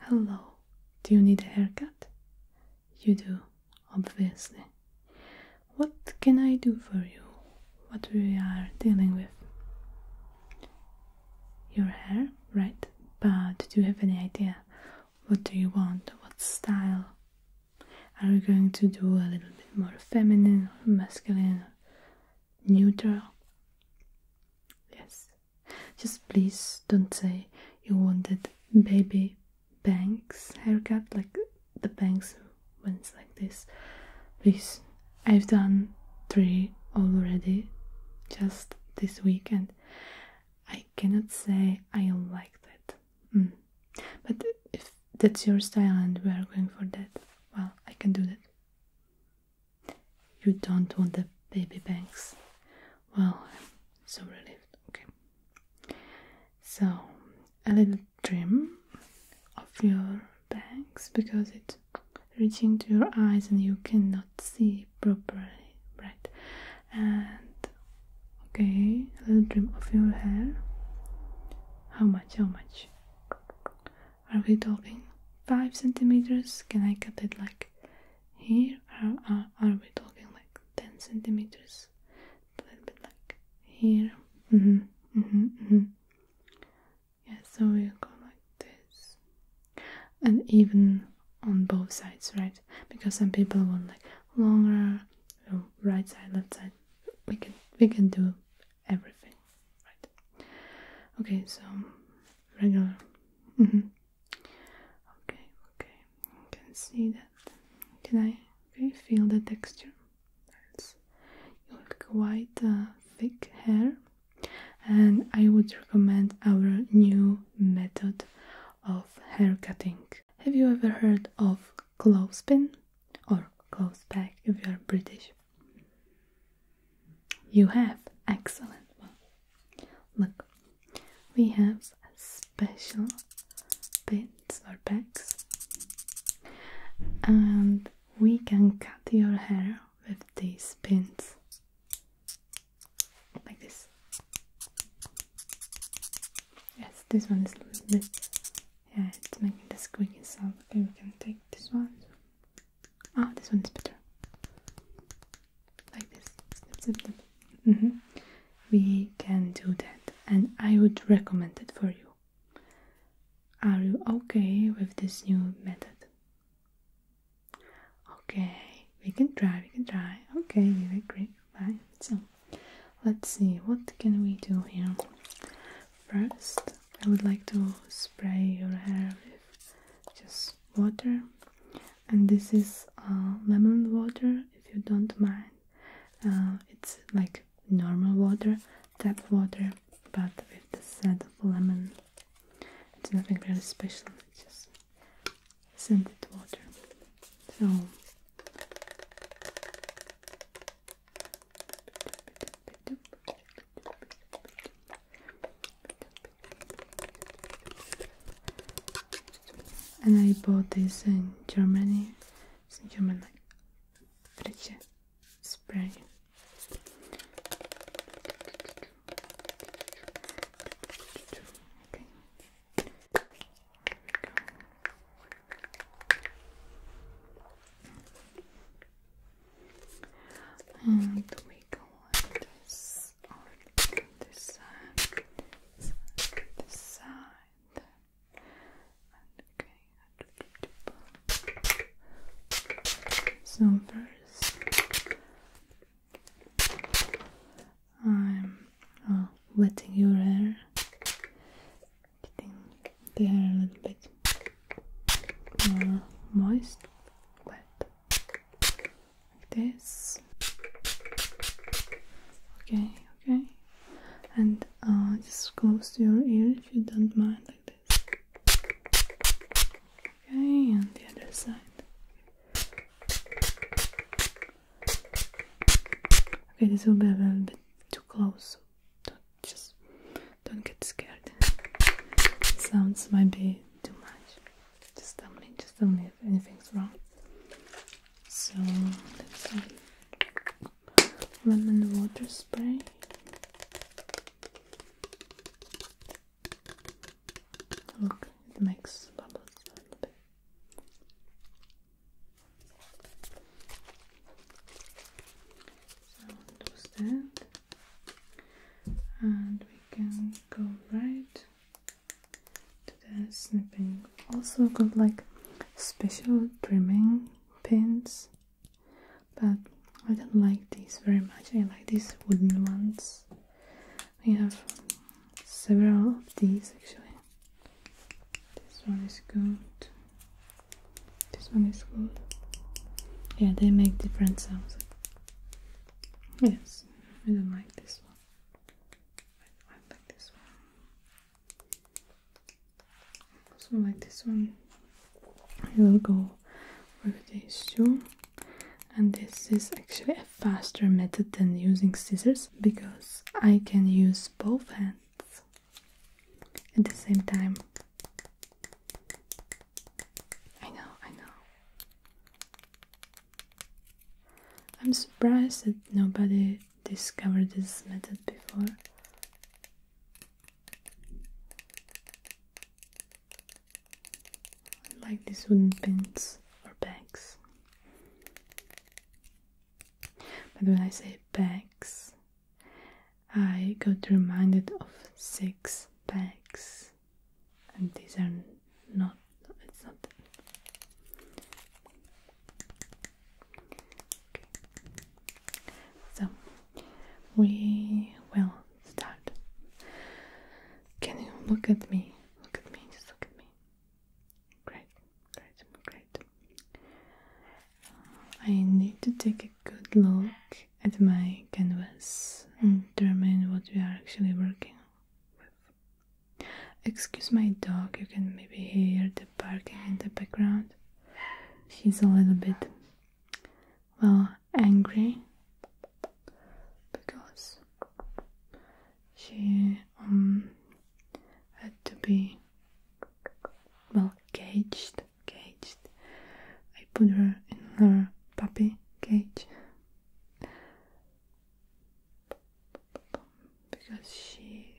Hello, do you need a haircut? You do, obviously. What can I do for you? What we are dealing with? Your hair, right? But do you have any idea? What do you want? What style? Are you going to do a little bit more feminine masculine? Neutral? Yes. Just please don't say you wanted baby bangs haircut, like the bangs went like this. Please, I've done three already just this weekend. I cannot say I don't like that. Mm. But if that's your style and we are going for that, well, I can do that. You don't want the baby bangs. Well, I'm so relieved. Okay. So, a little trim of your bangs because it's reaching to your eyes and you cannot see properly, right? And okay, a little trim of your hair. How much? How much? Are we talking five centimeters? Can I cut it like here are, are, are we talking like 10 centimeters? A little bit like here. Mm-hmm, mm-hmm, mm-hmm. Yeah, so we'll go like this. And even on both sides, right? Because some people want like longer, so right side, left side. We can we can do everything, right? Okay, so regular. Mm -hmm. Okay, okay, can see that. Can I feel the texture? It's quite uh, thick hair, and I would recommend our new method of hair cutting. Have you ever heard of clothespin or clothes peg if you are British? You have. Excellent. Well, look, we have special pins or bags, and we can cut your hair with these pins like this. Yes, this one is a little bit. Yeah, it's making the squeaky sound. Okay, we can take this one. oh, this one is better like this mm-hmm. we can do that and i would recommend it for you are you okay with this new method okay we can try we can try okay you agree bye so let's see what can we do here first i would like to spray your hair with just water and this is uh, lemon water if you don't mind uh, it's like normal water tap water but with the scent of lemon it's nothing really special it's just scented water so and I bought this in Germany. in German like Frische spray. And we go on this so first I'm uh, wetting your hair, getting the hair a little bit moist, wet like this. Okay, okay. And uh, just close to your ear if you don't mind, like this. Okay, and the other side. Okay, this will be a little bit too close. don't just don't get scared. Sounds might be too much. Just tell me, just tell me if anything's wrong. So let's see. Lemon water spray. Look, it makes bubbles a little bit. So do and we can go right to the snipping. Also got like special trimming pins, but I don't like these very much. I like these wooden ones. We have several of these actually. This one is good. This one is good. Yeah, they make different sounds. Yes. I don't like this one. I, I like this one. So like this one, I will go with these two. And this is actually a faster method than using scissors because I can use both hands at the same time I know, I know. I'm surprised that nobody discovered this method before. Like these wooden pins or pegs. But when I say pegs, I got reminded of six pegs and these are not it's not okay. so we will start can you look at me look at me just look at me great great great I need to take a good look at my canvas and determine what we are actually working with. Excuse my dog, you can maybe hear the barking in the background. She's a little bit, well, angry because she um, had to be, well, caged. Caged. I put her in her puppy cage because she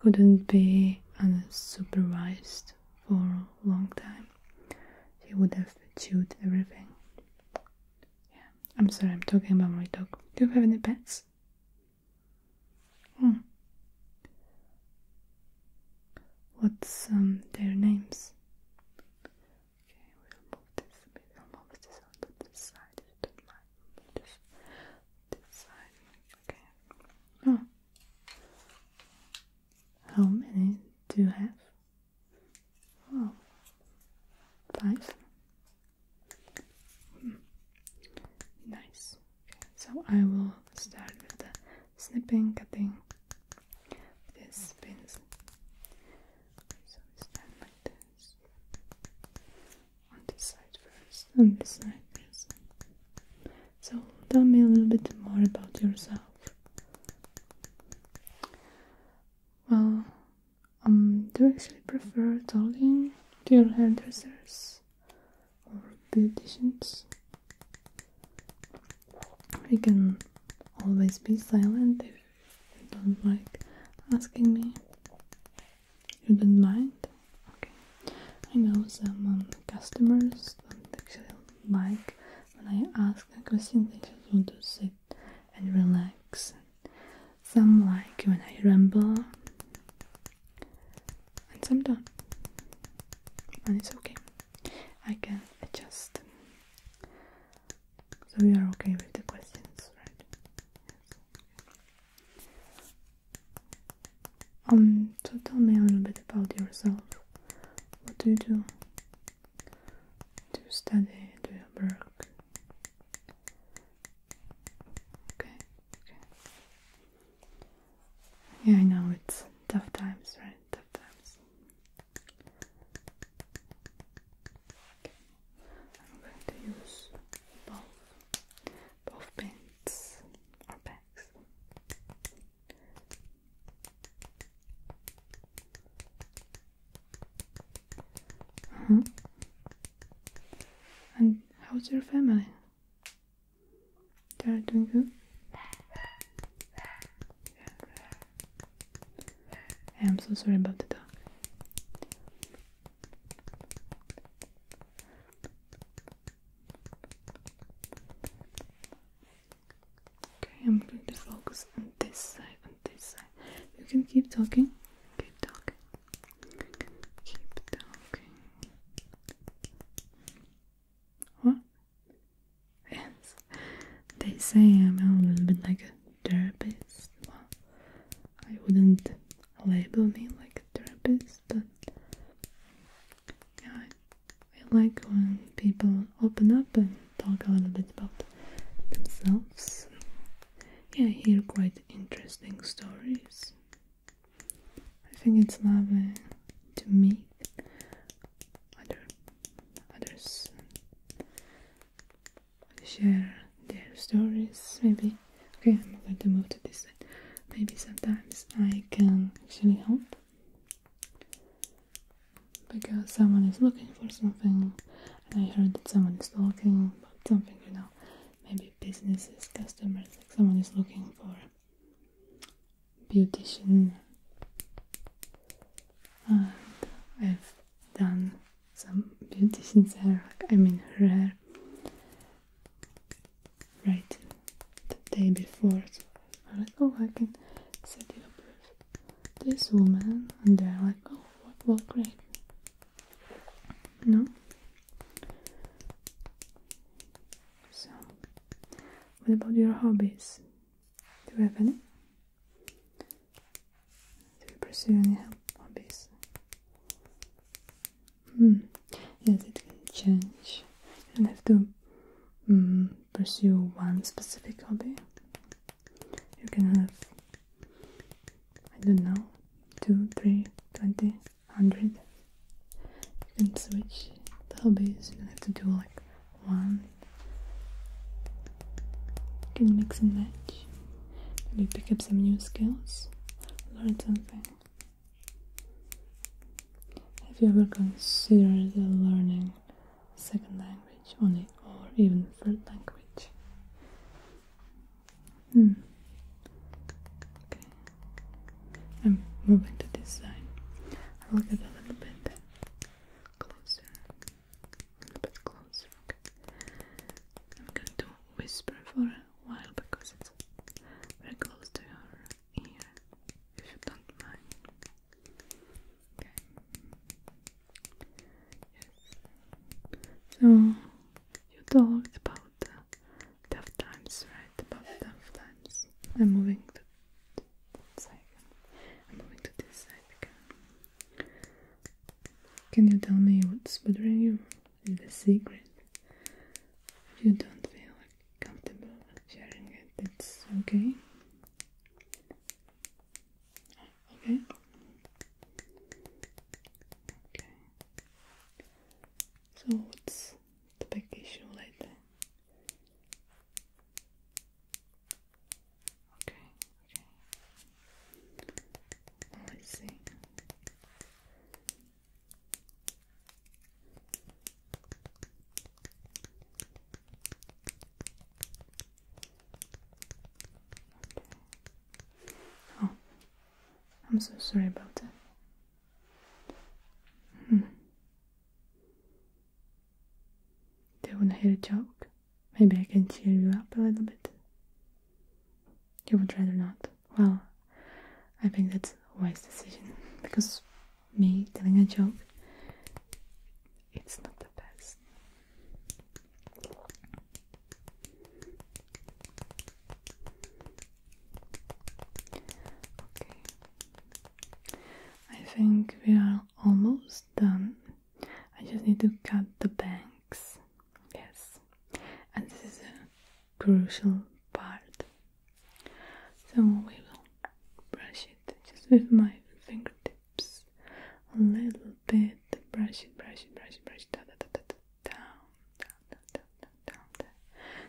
couldn't be unsupervised for a long time. She would have chewed everything. Yeah, I'm sorry, I'm talking about my dog. Do you have any pets? Hmm. What's um, their names? Okay, we'll move this a will move this onto this side don't mind. this, side. Okay. Hmm. How many do you have? Oh, five. Hmm. Nice. Okay, so I will start with the snipping, cutting, this pencil. So stand like this. On this side first, on mm. this side this. So tell me a little bit more about yourself. Well, um, do you actually prefer talking to your hairdressers or beauticians? You can always be silent if you don't like asking me. You don't mind? Okay. I know some um, customers don't actually like when I ask a question, they just want to sit and relax. Some like when I ramble, and some don't. And it's okay. I can adjust. So we are okay with the questions, right? Um, so tell me a little bit about yourself. What do you do? Do you study? Do you work? Okay, okay. Yeah, I know it's tough times, right? Tough times. I'm going to use both both pens or bags. Mm-hmm. And how's your family? They are doing good. I'm so sorry about the dog. Okay, I'm going to focus on this side, on this side. You can keep talking. Keep talking. Keep talking. What? They say I'm a little bit like a therapist. Well, I wouldn't label me like a therapist, but yeah, I, like when people open up and talk a little bit about themselves. Yeah, I hear quite interesting stories. I think it's lovely uh, to meet other others share their stories maybe okay I'm going to move to this maybe sometimes I can actually help because someone is looking for something I heard that someone is talking about something you know maybe businesses customers like someone is looking for Beauty and I've done some beauty hair, like, I mean her hair right the day before so I was like, oh I can set you up with this woman and they're like, oh what? well great no? So, what about your hobbies? Do you have any? Do you pursue any hobbies? Mm. Yes, it can change. You don't have to mm, pursue one specific hobby. You can have, I don't know, two, three, twenty, hundred. You can switch the hobbies. You don't have to do like one. can mix and match. Maybe pick up some new skills, learn something. Have you ever considered learning second language only or even third language? Hmm. Okay. I'm moving to this side. i look at a little bit. Closer. A bit closer. I'm going to whisper for a while because it's very close to your ear, if you don't mind. So you talked about tough times, right? About tough times. I'm moving the side. I'm moving to this side again. Can you tell me what's bothering you? Is the secret? If you don't feel comfortable sharing it, that's okay. Okay. Okay. So what's the big issue lately? Okay, Let's see. Oh, I'm so sorry about that. Hmm. Do you want to hear a joke? Maybe I can cheer you up a little bit. You would rather not. Well, I think that's a wise decision because me telling a joke, it's not the best. Okay. I think we are almost done. I just need to cut the banks. Yes, and this is a crucial part. So we will brush it just with my fingertips a little bit. Brush it, brush it, brush it, brush it. Da, da, da, da, da, down, down, down, down, down, down.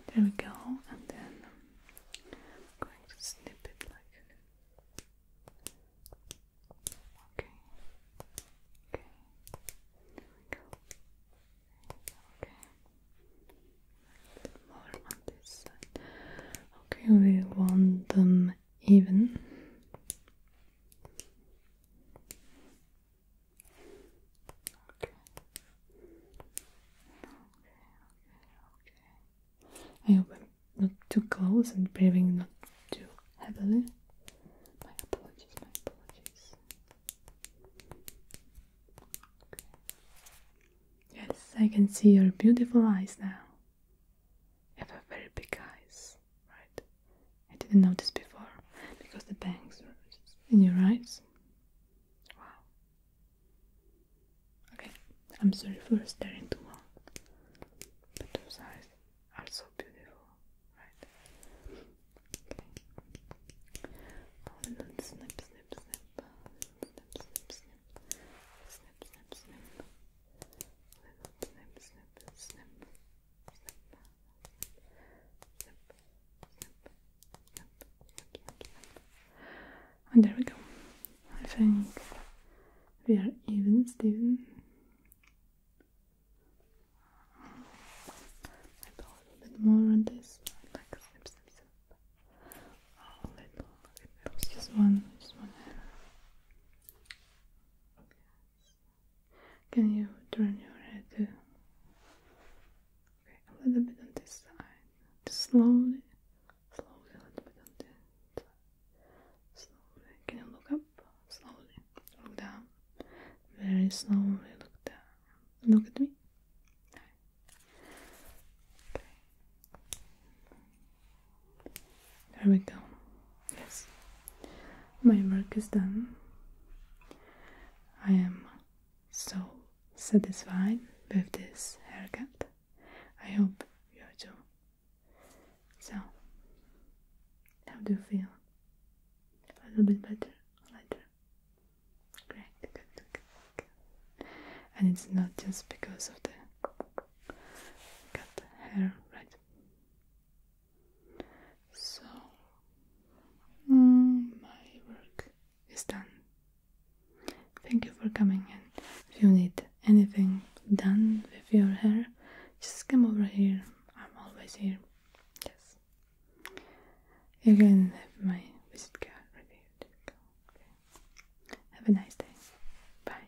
There we go. And then I'm going to snip it like Okay. Okay. There we go. Okay. More on this Okay, we want them even. Okay, okay, okay. I hope I'm not too close and breathing not too heavily. My apologies, my apologies. Yes, I can see your beautiful eyes now. You have a very big eyes, right? I didn't notice before because the bangs were in your eyes. Wow, Okay, I'm sorry for staring too long, but those eyes are so beautiful, right? Okay. Hold oh, it and snip, snip, snip, snip, snip, snip, snip, snip, snip, little snip, snip, snip, snip, snip, snip, snip, snip, snip, snip, snip. And there we go. I think we are even, Steven. I put a little bit more on this, like snip, little, just one, just one Can you turn your head? Okay, a little bit on this side, just slowly. Slowly, let me continue. Slowly. Can you look up? Slowly. Look down. Very slowly look down. Look at me. There we go. Yes. My work is done. I am so satisfied with this haircut. I hope you are too. So, how do you feel? A little bit better or later? Great, good, good, good, And it's not just because of the cut hair, right? So, mm, my work is done. Thank you for coming in. If you need anything done with your hair, just come over here. I'm always here. Yes. You can have my visit card right here. Okay. Have a nice day. Bye.